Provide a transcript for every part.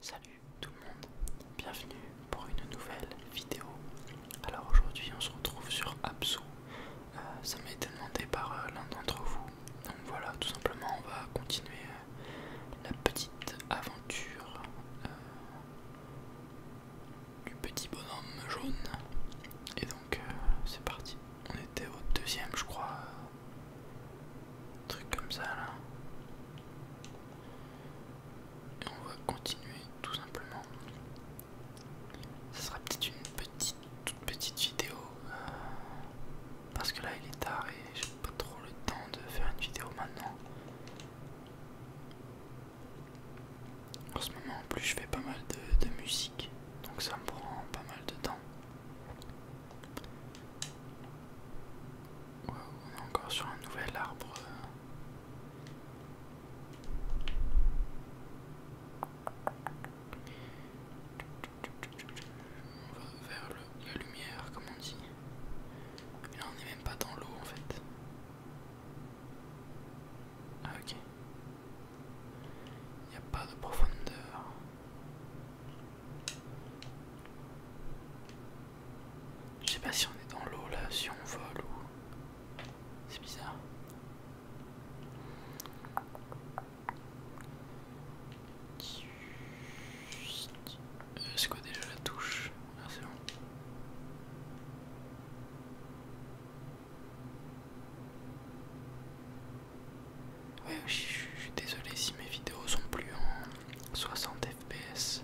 Salut tout le monde, bienvenue pour une nouvelle vidéo. Alors aujourd'hui on se retrouve sur Absu, euh, ça m'a été demandé par euh, l'un d'entre vous. Donc voilà, tout simplement on va continuer euh, la petite aventure du petit bonhomme jaune. Et donc euh, c'est parti. On était au deuxième je crois. truc comme ça là. Et on va continuer tout simplement. ça sera peut-être une petite, toute petite vidéo. Euh, parce que là il est tard et j'ai pas trop le temps de faire une vidéo maintenant. En ce moment en plus je fais pas mal de, musique, donc ça me prend pas mal de temps. on est encore sur un nouvel arbre. On va vers la lumière, comme on dit. là, on n'est même pas dans l'eau en fait. Ah ok. Il n'y a pas de profondeur. Je sais pas si on est dans l'eau là, si on vole ou... C'est bizarre. Euh, Est-ce déjà la touche Merci. Ouais, je suis désolé si mes vidéos sont plus en 60 fps,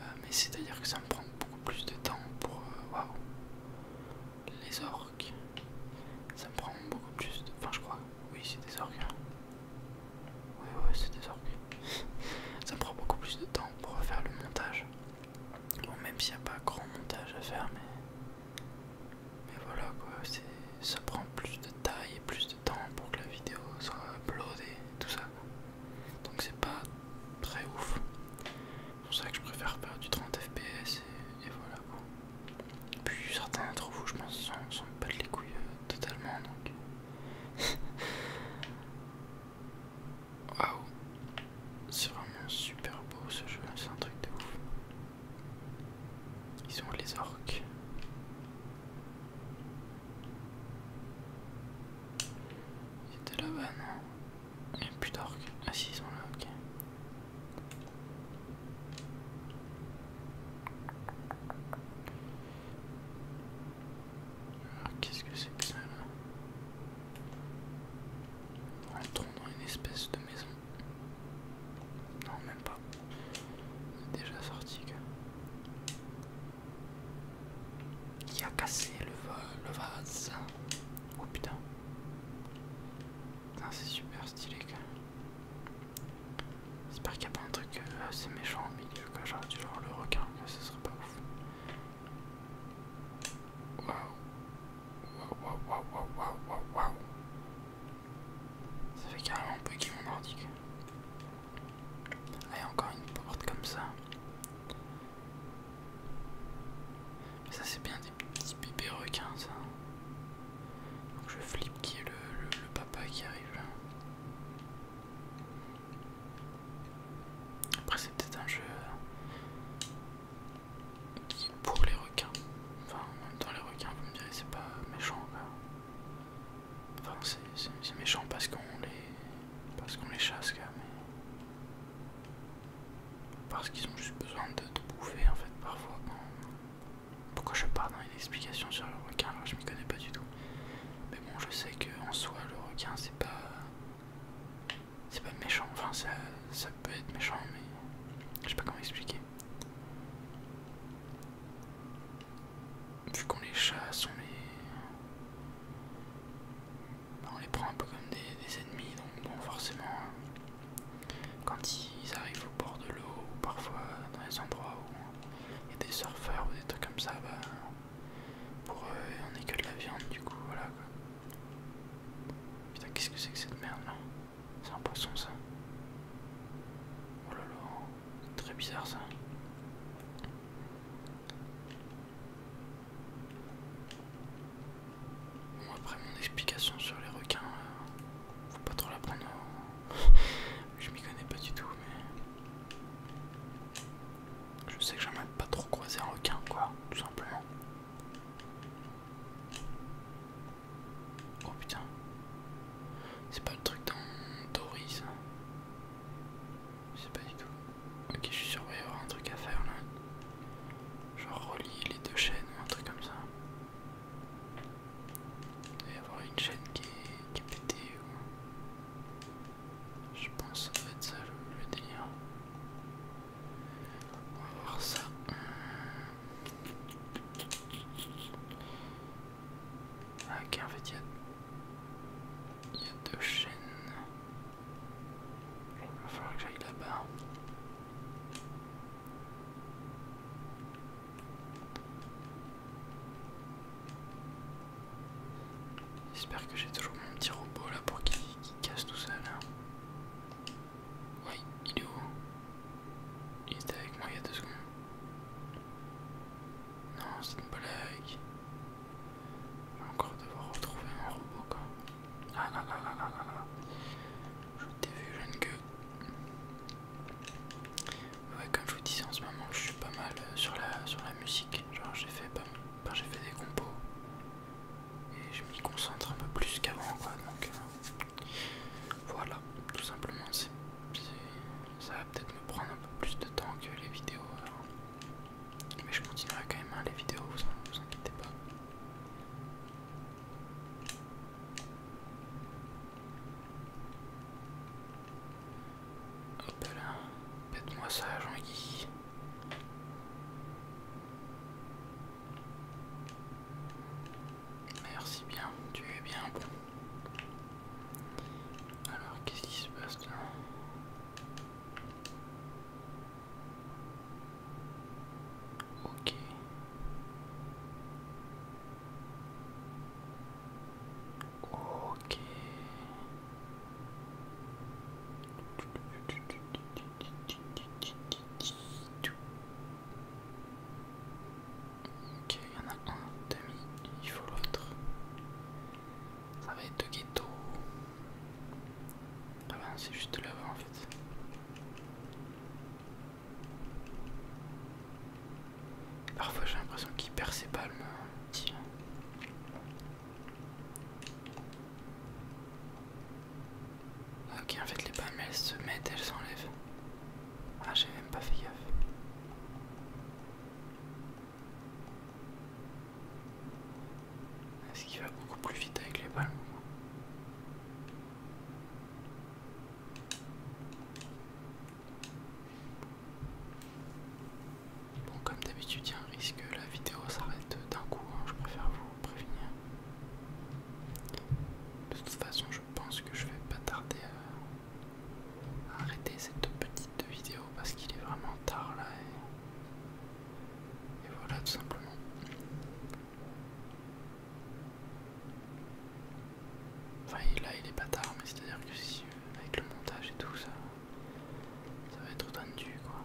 euh, mais c'est à dire que ça me prend beaucoup plus de temps pour. Euh, les orques, ça me prend beaucoup plus de. Enfin, je crois, oui, c'est des orques. Oui, ouais, c'est désormais. Ça prend beaucoup plus de temps pour faire le montage. Bon, même s'il n'y a pas grand montage à faire, mais. Mais voilà quoi, ça prend plus de taille et plus de temps pour que la vidéo soit uploadée et tout ça. Donc c'est pas très ouf. C'est pour ça que je préfère faire du 30 fps et, voilà quoi. Puis certains d'entre vous, je pense, s'en battent les couilles euh, totalement donc. Waouh, c'est vraiment super beau ce jeu, là c'est un truc de ouf. Ils ont les orques. Ils étaient là-bas, non Il n'y hein. a plus d'orques. Ah si, ils sont là, ok qu'est-ce que c'est que ça là Rentrons dans une espèce de maison. Non, même pas. On est déjà sorti. Qui a cassé le, le vase hein Oh putain. Putain, c'est super stylé. J'espère qu'il n'y a pas un truc euh, assez méchant au milieu, quand genre du genre le requin, ça ce serait pas ouf. Waouh. Waouh, waouh, waouh, waouh, waouh, waouh. Ça fait carrément buggy mon ordi. a encore une porte comme ça. Mais ça, c'est bien des petits bébés requins, ça. Donc je flippe qui est le, papa qui arrive. là. Après, c'est peut-être un jeu qui pour les requins. Enfin, en même temps, les requins, vous me direz, c'est pas méchant. Enfin, c'est méchant parce qu'on les, parce qu'on les chasse, quand même, parce qu'ils ont juste besoin de, de bouffer en fait parfois pourquoi je pars dans une explication sur le requin alors je m'y connais pas du tout. Mais bon, je sais que en soi, le requin, c'est pas. C'est pas méchant, enfin ça, peut être méchant, mais je sais pas comment expliquer. Vu qu'on les chasse, on les. On les prend un peu comme des, ennemis, donc forcément, hein, quand ils arrivent au bord de l'eau, ou parfois dans les endroits où et des surfeurs ou des trucs comme ça, bah, pour eux, on n'est que de la viande, du coup, voilà quoi. Putain, qu'est-ce que c'est que cette merde là C'est un poisson ça Oh là c'est très bizarre ça. Bon, après mon explication sur les requins, euh, faut pas trop la prendre je m'y connais pas du tout, mais. Je sais que j'aimerais pas trop croiser un requin, quoi, tout simplement. Oh putain. C'est pas le truc dans Dory, ça. Je sais pas du tout. Ok, je suis sûr qu'il va y avoir un truc à faire là. Genre relier les deux chaînes ou un truc comme ça. Il y avoir une chaîne qui est, qui pétée ou... Je pense que ça doit être ça le, le délire. On va voir ça. Ah, ok, en fait, il y a... Il y a deux chaînes. Il va falloir que j'aille là-bas. J'espère que j'ai toujours mon petit robot là pour qu'il casse tout seul. Ouais, il est où Il était avec moi il y a deux secondes. Non, c'est une blague. Je vais encore devoir retrouver un robot quoi. Ah là là là là là. Je t'ai vu, jeune Ouais, comme je vous disais, en ce moment, je suis pas mal euh, sur la, sur la musique. Genre, j'ai fait, pas, j'ai fait des compos et je m'y concentre un peu plus qu'avant, quoi. Donc, euh, voilà, tout simplement, ça va peut-être me prendre un peu plus de temps que les vidéos. Mais je continuerai quand même hein, les vidéos, vous, vous inquiétez pas. Hop là, pète-moi ça, Jean-Guy. Merci bien, tu es bien Alors, qu'est-ce qui se passe là Ok. Ok. il y en a un demi, il faut l'autre. Ça va être de ghetto. Ah ben, c'est juste là-bas en fait. Parfois j'ai l'impression qu'il perd ses palmes. Ok, en fait les palmes elles se mettent, elles s'enlèvent. Ah, j'ai même pas fait gaffe. Est-ce qu'il va beaucoup plus vite avec les palmes Bon comme d'habitude il y a un risque que la vidéo s'arrête d'un coup, hein, je préfère vous prévenir. De toute façon je pense que je vais pas tarder à, arrêter cette petite vidéo parce qu'il est vraiment tard là et voilà tout simplement. Enfin là il est bâtard mais c'est à dire que si avec le montage et tout ça ça va être tendu quoi.